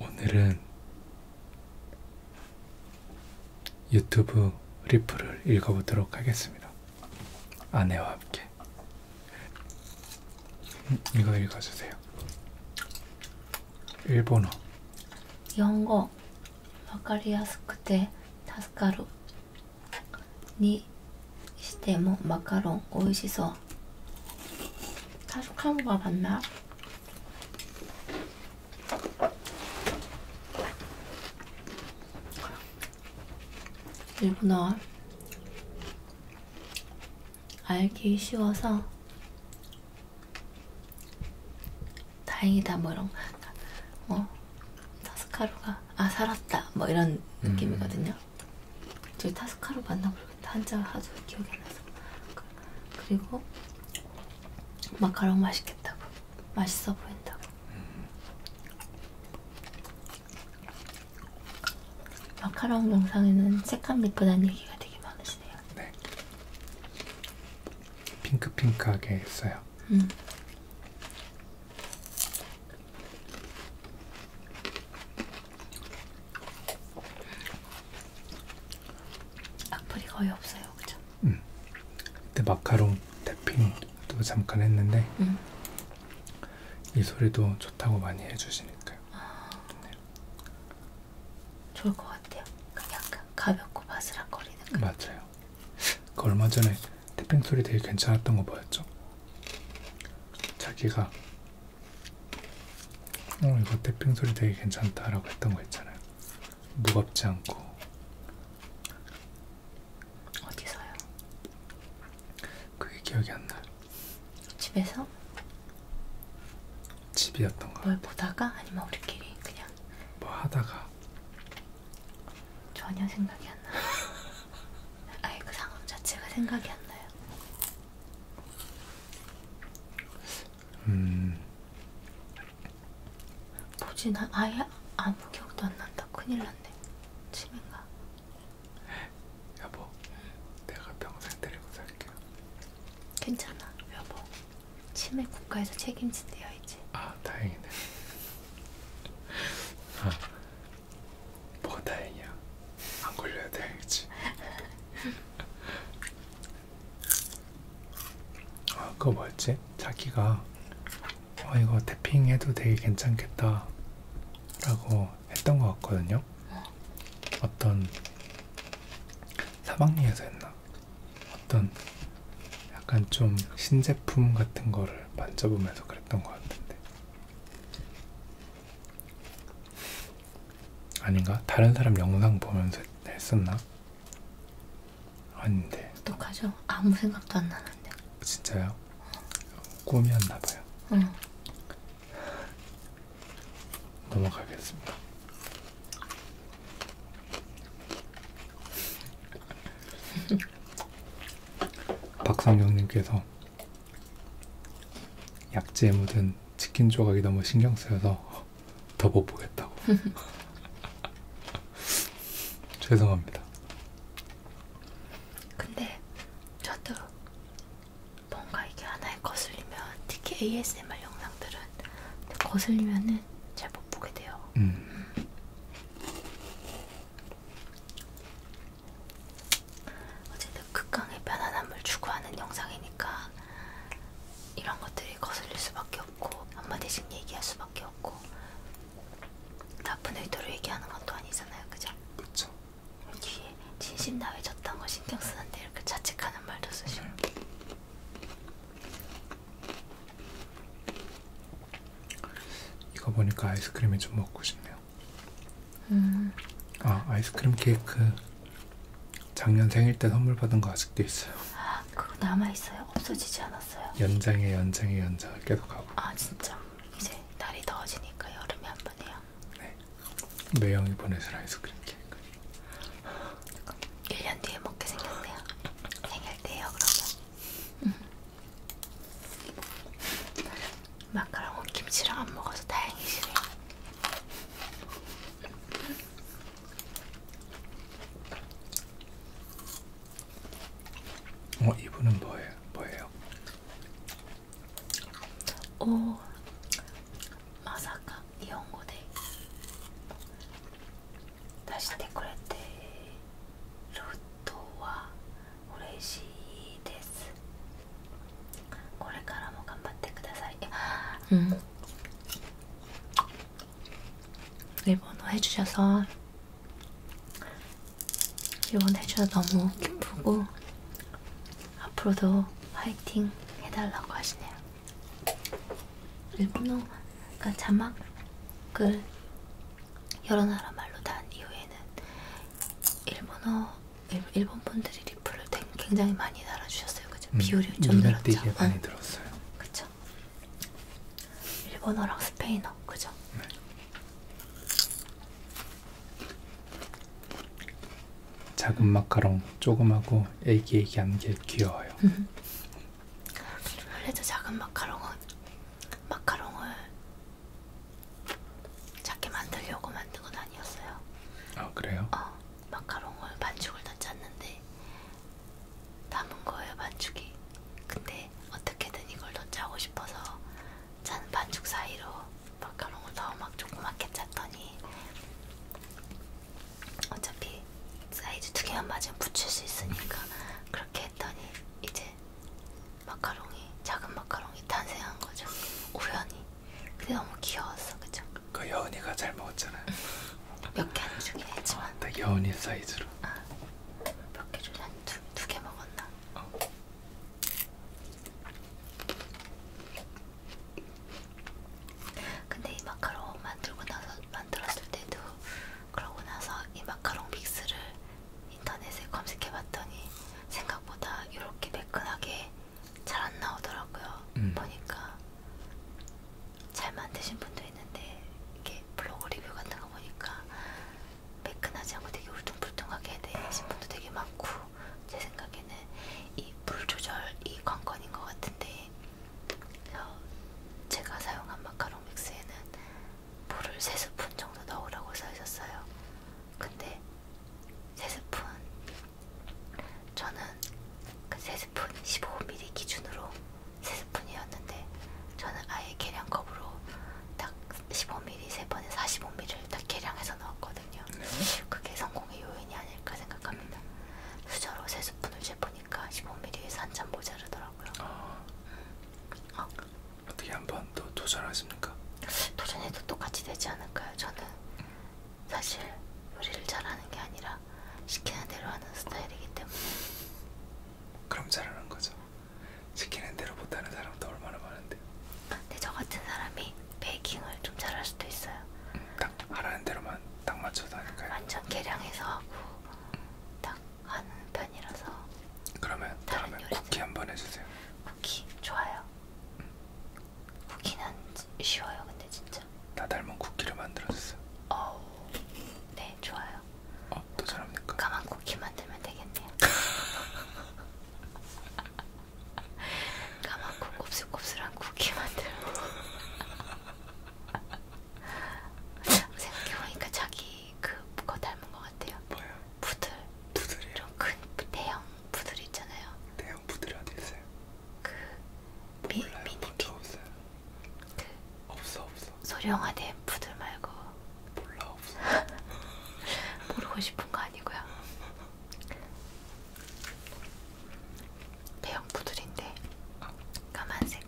오늘은 유튜브 리플을 읽어보도록 하겠습니다. 아내와 함께. 음, 이거 읽어주세요. 일본어. 영어. わかりやすくて助かる。 にしてもマカロン美味しそう다시한거봤나 뭐 일본어 알기 쉬워서 다행이다 뭐 이런 거 어, 사스카루가 아 살았다 뭐 이런 음. 느낌이거든요. 음. 저희 타스카로 만나보겠다 한자 하도 기억이 안 나서 그리고 마카롱 맛있겠다고 맛있어 보인다고 음. 마카롱 영상에는 색감 예쁘다는 얘기가 되게 많으시네요. 네. 핑크핑크하게 했어요. 음. 악플이 거의 없어요, 그죠? 음. 그때 마카롱 태핑도 잠깐 했는데 음. 이 소리도 좋다고 많이 해주시니까요. 아, 네. 좋을 것 같아요. 약간 가볍고 바스락거리는. 맞아요. 그 얼마 전에 태핑 소리 되게 괜찮았던 거 뭐였죠? 자기가 어 이거 태핑 소리 되게 괜찮다라고 했던 거 있잖아요. 무겁지 않고 어디서요? 그게 기억이 안 나요. 집에서? 집이었던 거. 뭘 보다가 아니면 우리끼리 그냥 뭐 하다가 전혀 생각이 안 나요. 아예 그 상황 자체가 생각이 안 나요. 음. 뭐지? 난 아예 아무 기억도 안 난다. 큰일 났네. 치매인가? 여보, 내가 평생 데리고 살게요. 괜찮아, 여보. 치매 국가에서 책임진대요 이제. 아 다행이네. 아, 뭐가 다행이야. 안 걸려야 다행이지. 아 그거 뭐였지? 자기가 어 이거 태핑 해도 되게 괜찮겠다 라고 했던 것 같거든요. 어. 어떤 사방리에서 했나? 어떤 약간 좀 신제품 같은 거를 만져보면서 그랬던 것 같은데 아닌가? 다른 사람 영상 보면서 했었나? 아닌데 어떡하죠? 아무 생각도 안 나는데 진짜요? 꿈이었나봐요 응 넘어가겠습니다 박상경님께서 약재에 묻은 치킨 조각이 너무 신경 쓰여서 더 못 보겠다고. 죄송합니다. 근데 저도 뭔가 이게 하나에 거슬리면 특히 ASMR 영상들은 거슬리면은 때는 잘못 보게 돼요. 음. 어쨌든 극강의 편안함을 추구하는 영상이니까 이런 것들이 거슬릴 수밖에 없고 한마디씩 얘기할 수밖에 없고 나쁜 의도로 얘기하는 것도 아니잖아요, 그죠? 그렇죠. 뒤에 진심 나왜 저딴 거 신경 쓰는데 이렇게 자책하는 말도 쓰시고. 음. 이거 보니까 아이스크림이 좀 먹고 싶네요. 음. 아 아이스크림 케이크 작년 생일 때 선물 받은 거 아직도 있어요. 그거 남아 있어요? 없어지지 않았어요? 연장에 연장에 연장을 계속 하고. 아 진짜 이제 날이 더워지니까 여름에 한 번 해요. 네. 매형이 보내준 아이스크림 케이크. 1년 뒤에 먹게 생겼네요. 생일 갈게요, 그러면. 음. 마카롱은 김치랑 안 먹어서 다행이시네요. 어, 이분은 뭐예요? 뭐예요? 오, 마사카 が日本語で出してくれてるとは嬉しいですこれからも頑張ってください日本の해주셔서지원해주셔서너무기쁘고앞으로도화이팅해달라고하시네요 일본어가 자막을 여러 나라 말로 단 이후에는 일본어 일, 일본 분들이 리플을 굉장히 많이 달아주셨어요. 그죠? 음, 비율이 좀 늘었죠. 어. 많이 들었어요. 그죠? 일본어랑 스페인어, 그죠? 네. 작은 마카롱 조그마고 애기애기한 게 귀여워요. 원래도 작은 마카롱은 마카롱을 작게 만들려고 만든 건 아니었어요. 아 그래요? 어 마카롱을 반죽을 다 짰는데 담은 거예요 반죽이. 근데 어떻게든 이걸 더 짜고 싶어서 짠 반죽 사이로 마카롱을 더 막 조그맣게 짰더니 어차피 사이즈 두 개만 맞으면 붙일 수 있으니까 그렇게 했더니 이제 마카롱이 작은 마카롱이 탄생한 거죠. 우연히. 근데 너무 귀여웠어, 그죠? 그 여은이가 잘 먹었잖아요. 몇개안 주긴 했지만. 어, 딱 여은이 사이즈로. 아, 몇개 주지? 두개 두 먹었나? 어. 근데 이 마카롱 만들고 나서 만들었을 때도 그러고 나서 이 마카롱 믹스를 인터넷에 검색해봤더니 생각보다 이렇게 매끈하게 잘 안 나오더라고요. 음. 보니까 잘 만드신 분도 있는데 이게 블로그 리뷰 같은 거 보니까 매끈하지 않고 되게 울퉁불퉁하게 해내신 분도 되게 많고 제 생각에는 이물 조절 이 관건인 것 같은데 그래서 제가 사용한 마카롱 믹스에는 물을 3스푼 정도 넣으라고 써있었어요. 근데 3스푼 저는 그 3스푼 15ml 기준으로 3스푼이었는데 저는 아예 계량컵으로 딱 15ml 3번에 45ml를 딱 계량해서 넣었거든요. 네. 그게 성공의 요인이 아닐까 생각합니다. 수저로 3스푼을 제품 보니까 15mm에서 한참 모자르더라고요. 아, 음. 어. 어떻게 한번더 도전하십니까? 도전해도 똑같이 되지 않을까요? 저는 사실 요리를 잘하는 게 아니라 시키는 대로 하는 스타일이기 때문에. 그럼 잘하는 거죠. 시키는 대로 못하는 사람도 얼마나 많은데. 근데 저 같은 사람이 베이킹을 좀 잘할 수도 있어요. 음. 딱 하라는 대로만 딱 맞춰서 하니까요. 완전 계량해서 하고 딱 하는 편이라서. 그러면 다음에 쿠키 한번 해주세요. 쿠키 좋아요. 음. 쿠키는 쉬워요, 근데 진짜. 나 닮은 쿠키를 만들어줬어. 어, 네 좋아요. 어, 또 잘합니까? 까만 쿠키 만들면 되겠네요. 까맣고 곱슬곱슬한 쿠키 만들고 생각해보니까 자기 그거 닮은 것 같아요. 뭐요? 푸들. 푸들이요? 좀큰 대형 푸들 있잖아요. 대형 푸들이 어디 있어요? 그 뭐 미, 몰라요. 미니피. 없어요. 그 없어 없어. 소량화된 푸들 말고. 몰라 없어. 모르고 싶은 거 아니고요. 대형 푸들인데 까만색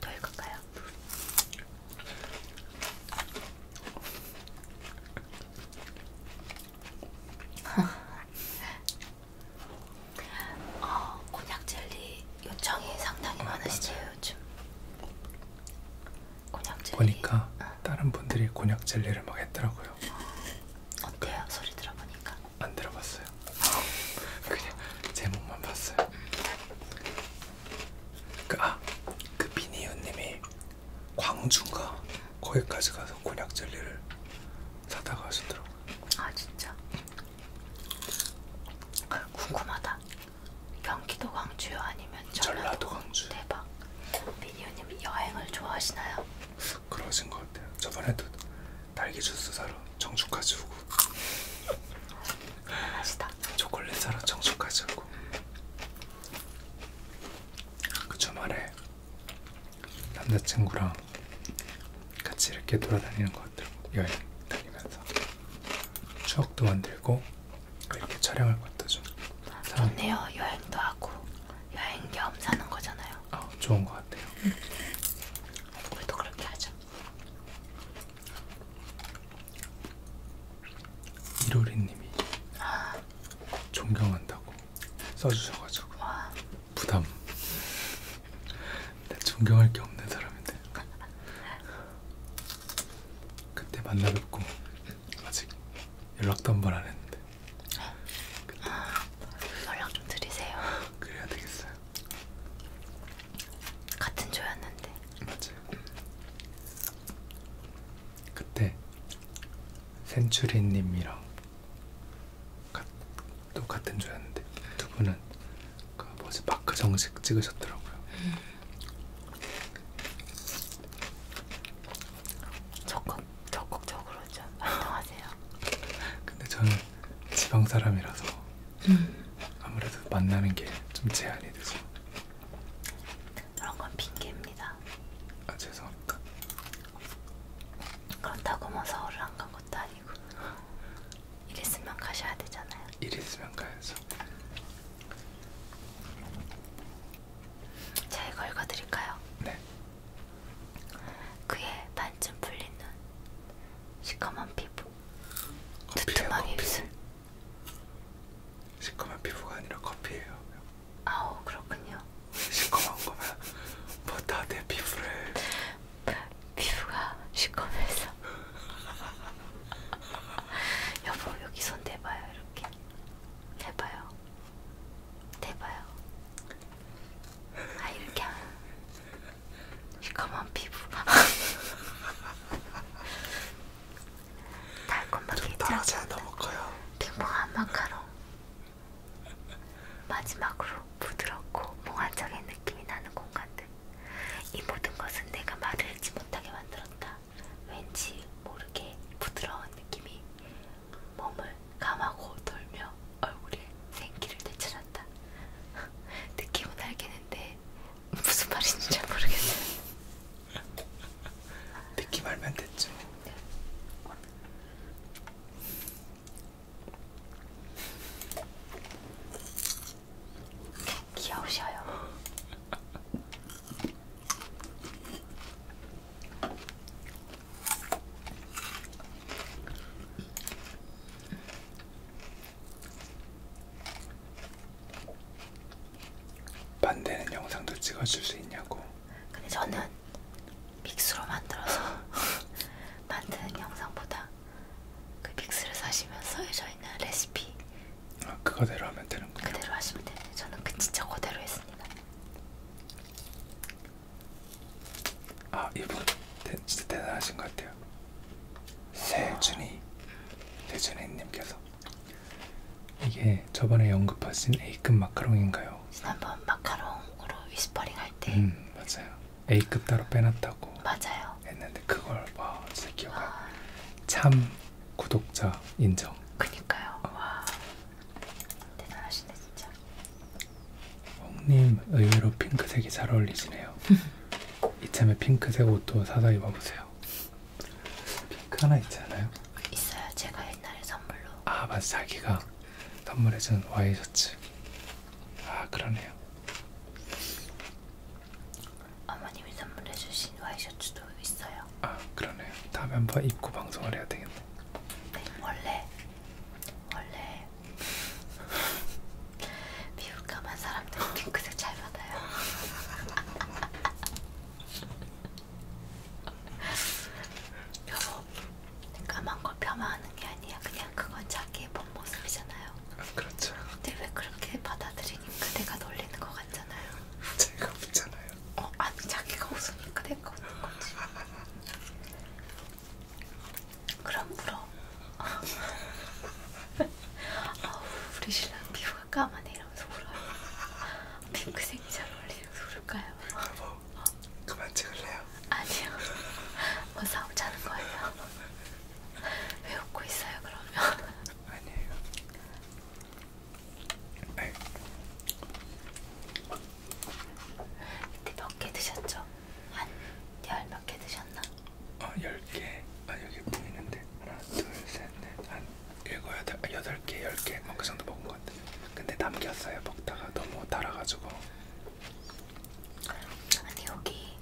더 읽을까요? 어, 곤약 젤리 요청이 상당히 많으시죠 요즘 곤약 젤리. 보니까 어. 다른 분들이 곤약 젤리를 막 했더라고요. 어. 어때요? 소리 들어보니까? 안 들어봤어요. 그냥 제목만 봤어요. 그, 아, 그 비니유님이 광주인가 거기까지 가서 곤약 젤리를 사다가 하시더라고요. 아 진짜? 궁금하다. 경기도 광주요 아니면 전라도 광주. 대박. 미니언님 여행을 좋아하시나요? 그러신 것 같아요. 저번에도 딸기 주스 사러 정주까지 오고. 맛있다. 초콜릿 사러 정주까지 오고. 그 주말에 남자친구랑 같이 이렇게 돌아다니는 것 같더라고 여행 다니면서 추억도 만들고 이렇게 촬영할 것 같아 좀. 좋네요. 여행도 하고 여행 겸 사는 거잖아요. 아 좋은 것 같아요. 응. 우리도 그렇게 하자. 이로리님이 아. 존경한다고 써주셔가지고 와. 부담. 나 네, 존경할 게 없는 사람인데. 그때 만나뵙고 아직 연락도 한 번 안 했는데. 아, 연락 좀 드리세요. 그래야 되겠어요. 같은 조였는데. 맞아요. 그때 센츄리님이랑 또 같은 조였는데 두 분은 그 뭐지 마크 정식 찍으셨더라고요. 음. 적극, 적극적으로 좀 활동하세요. 근데 저는 지방 사람이라서 음. 아무래도 만나는 게 좀 제한이 돼서 그런 건 핑계입니다. 아 죄송합니다. 그렇다고 뭐 서울을 안간 것도 아니고 일 있으면 가셔야 되잖아요. 일 있으면 가야죠. 제가 읽어드릴까요? 네. 그의 반쯤 풀린 눈, 시커먼 피부, 두툼한 입술. 시커먼 피부가 아니라 커피예요. 아우 그렇군요. 시커먼 거면 뭐다내 피부를. 피부가 시커매서. 여보 여기 손 대봐요 이렇게. 대봐요. 대봐요. 아 이렇게 하면 시커먼 피부. 달콤하게 괜찮지 않나볼까요? 핑퐁한 마카롱. 마지막으로 부드럽고 몽환적인 느낌이 나는 공간들. 이 모든 것은 내가 말을 하지 못하게 만들었다. 왠지 모르게 부드러운 느낌이 몸을 감하고 돌며 얼굴에 생기를 되찾았다. 느낌은 알겠는데 무슨 말인지 잘 모르겠어요. 느낌 알면 됐죠. 네. 귀여우셔요. 반대는 영상도 찍어줄 수 있냐고. 근데 저는 믹스로 만들어서 만드는 영상보다 그 믹스를 사시면 써져 있는 레시피 아, 그거대로 하면 되는군요. 그대로 하시면 되네요. 저는 그 진짜 그대로 했습니다. 아 이분 대, 진짜 대단하신 것 같아요. 세준이 세준이님께서 이게 저번에 언급하신 A급 마카롱인가요? 지난번 마카롱으로 위스퍼링 할때 음, 맞아요. A급 따로 빼놨다고 맞아요. 했는데 그걸 와 진짜 기억나. 아... 참 구독자 인정. 그니까요. 와 대단하시네 진짜. 홍님 의외로 핑크색이 잘 어울리시네요. 이참에 핑크색 옷도 사다 입어보세요. 핑크 하나 있잖아요. 있어요. 제가 옛날에 선물로. 아 맞아 자기가 선물해준 와이셔츠. 아 그러네요. 어머님이 선물해 주신 와이셔츠도 있어요. 아 그러네요. 다음에 한번 입고 방송을 해야 되겠네. 네 원래 원래 피부감한 사람들 핑크색 잘 받아요. 여보 까만 걸 폄하하는 게 아니야. 그냥 그건 자기의 본 모습이잖아요. 그렇죠. 근데 왜 그렇게 받아들이니까 내가 놀리는 거 같잖아요. 제가 웃잖아요. 어, 아니 자기가 웃으니까 내가 웃는 거지. 그럼 울어. 아우 우리 신랑 피부가 까만해 이러면서 울어요. 핑크색이 잘 어울리면서 울까요? 여보 어? 그만 찍을래요? 아니요. 뭐 싸우자는 거예요. 왜 웃고 있어요 그러면? 아니에요. 네. 이때 몇개 드셨죠? 한 열 몇 개 드셨나? 어, 열 개. 아 여기 보이는데 하나, 둘, 셋, 넷, 한 일곱, 여덟, 아, 여덟 개, 열 개, 뭐그 정도 먹은 것 같아요. 근데 남겼어요. 먹다가 너무 달아가지고. 아니 여기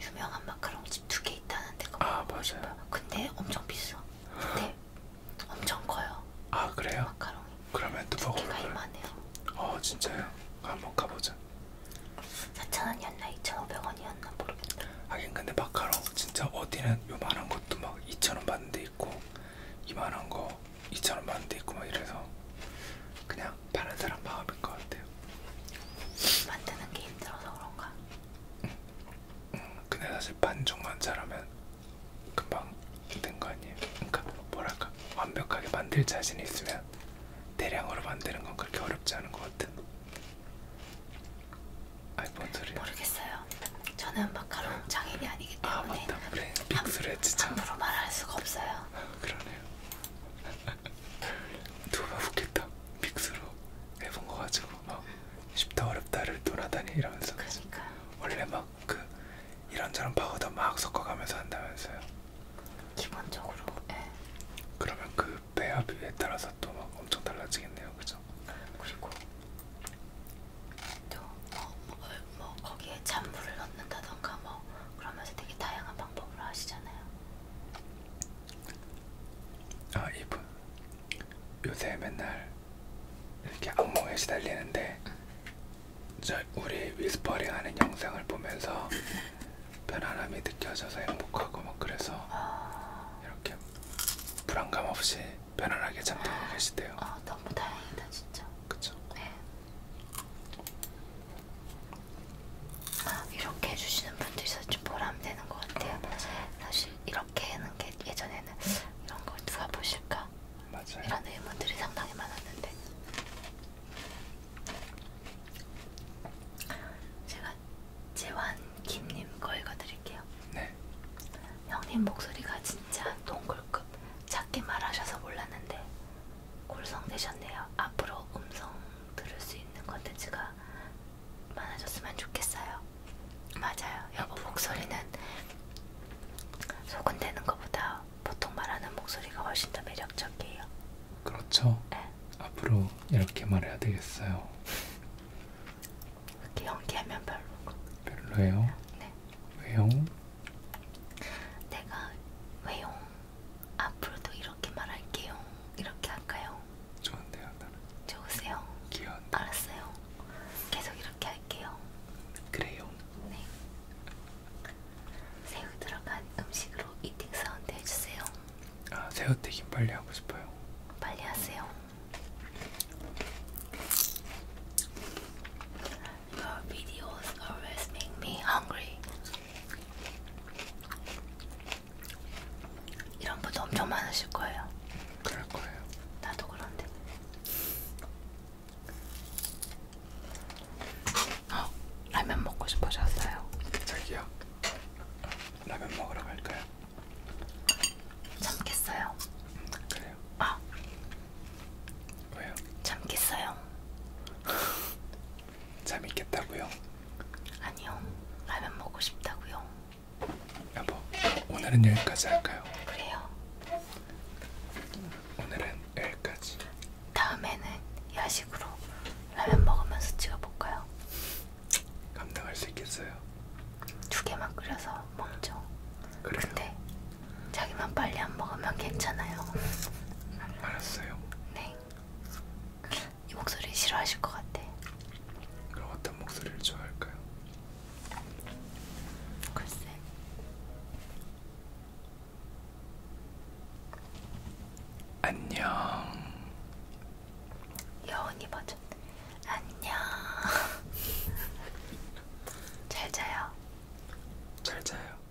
유명한 마카롱집 두 개 있다는데 그거 아 맞아요. 싶어요. 근데 엄청 비싸. 근데 엄청 커요. 아 그래요? 마카롱이. 그러면 또 먹어볼까요? 두개가 이만해요. 어 진짜요? 한번 가보자. 4,000원이었나 2,500원이었나 모르겠다. 하긴 근데 마카롱 진짜 어디는 요만한 것도 막 2,000원 받는 데 있고 이만한 거 2,000원 받는 데 있고 막 이래서 그냥 파는 사람 마음인 것 같아요. 만드는 게 힘들어서 그런가? 근데 사실 반죽만 잘하면 금방 된 거 아니에요? 그러니까 뭐랄까 완벽하게 만들 자신이 있으면 대량으로 만드는 건 그렇게 어렵지 않은 것 같은. 아이 뭔 소리야? 모르겠어요. 저는 마카롱 장인이 아니기 아, 때문에. 아 맞다. 브레인 빅스레 진짜. 함부로 말할 수가 없어요. 그러네요. 누가 웃겠다. 빅스로 해본 거 가지고 막 쉽다 어렵다를 논하다니 이러면서 그러니까. 원래 막 그 이런저런 파고다 막 섞어가면서 한다면서요. 기본적으로. 예. 그러면 그 배합 비에 따라서 또 막 엄청 달라지겠네요, 그죠? 그리고 또뭐 뭐, 뭐 거기에 잔물을 넣는다던가 뭐 그러면서 되게 다양한 방법으로 하시잖아요. 아 이분 요새 맨날 이렇게 악몽에 시달리는데 저 우리 위스퍼링 하는 영상을 보면서 편안함이 느껴져서 행복하고 막 그래서 이렇게 불안감 없이 편안하게 잠들고 계시대요. 아 너무 다행이다 진짜. 그쵸. 네. 이렇게 해주시는 분들이 좀 보람되는 것 같아요. 맞아요. 사실 이렇게 하는 게 예전에는 이런 걸 누가 보실까? 맞아요. 이런 의문들이 상당히 많았는데 제가 재환김님 거 읽어드릴게요. 네. 형님 목소리가 진짜 동굴급 작게 말하셔서 몰랐는데 골성되셨네요. 앞으로 음성 들을 수 있는 컨텐츠가 많아졌으면 좋겠어요. 맞아요. 여보 목소리는 소근되는 것보다 보통 말하는 목소리가 훨씬 더 매력적이에요. 그렇죠. 네. 앞으로 이렇게 말해야 되겠어요. 이렇게 연기하면 별로. 별로예요? 네. 왜요? 내가 왜요? 앞으로도 이렇게 말할게요. 이렇게 할까요? 좋은데요, 나는. 좋으세요? 귀여운. 알았어요. 계속 이렇게 할게요. 그래요. 네. 새우 들어간 음식으로 이팅 사운드 해주세요. 아, 새우 튀김 빨리 하고 싶어요. 빨리 하세요. Your videos always make me hungry. 이런 분들 엄청 많으실 거예요. 그럴 거예요. 나도 그런데. 어, 라면 먹고 싶어졌어요. 저기요. 라면 먹으러 갈까요? 참겠어요. 음, 그래요. 아. 왜요? 참겠어요. 재밌겠다고요? 아니요. 라면 먹고 싶다고요. 여보, 오늘은 여기까지 할까요? 그래요. 오늘은 여기까지. 다음에는 야식으로 라면 먹으면서 찍어볼까요? 감당할 수 있겠어요? 두 개만 끓여서 먹죠. 그래요? 근데 자기만 빨리 안 먹으면 괜찮아요. 알았어요. 네. 이 목소리 싫어하실 것 같아. 그럼 어떤 목소리를 좋아할까요? 글쎄. 안녕. 여운이 버전. 안녕. 잘 자요. 잘 자요.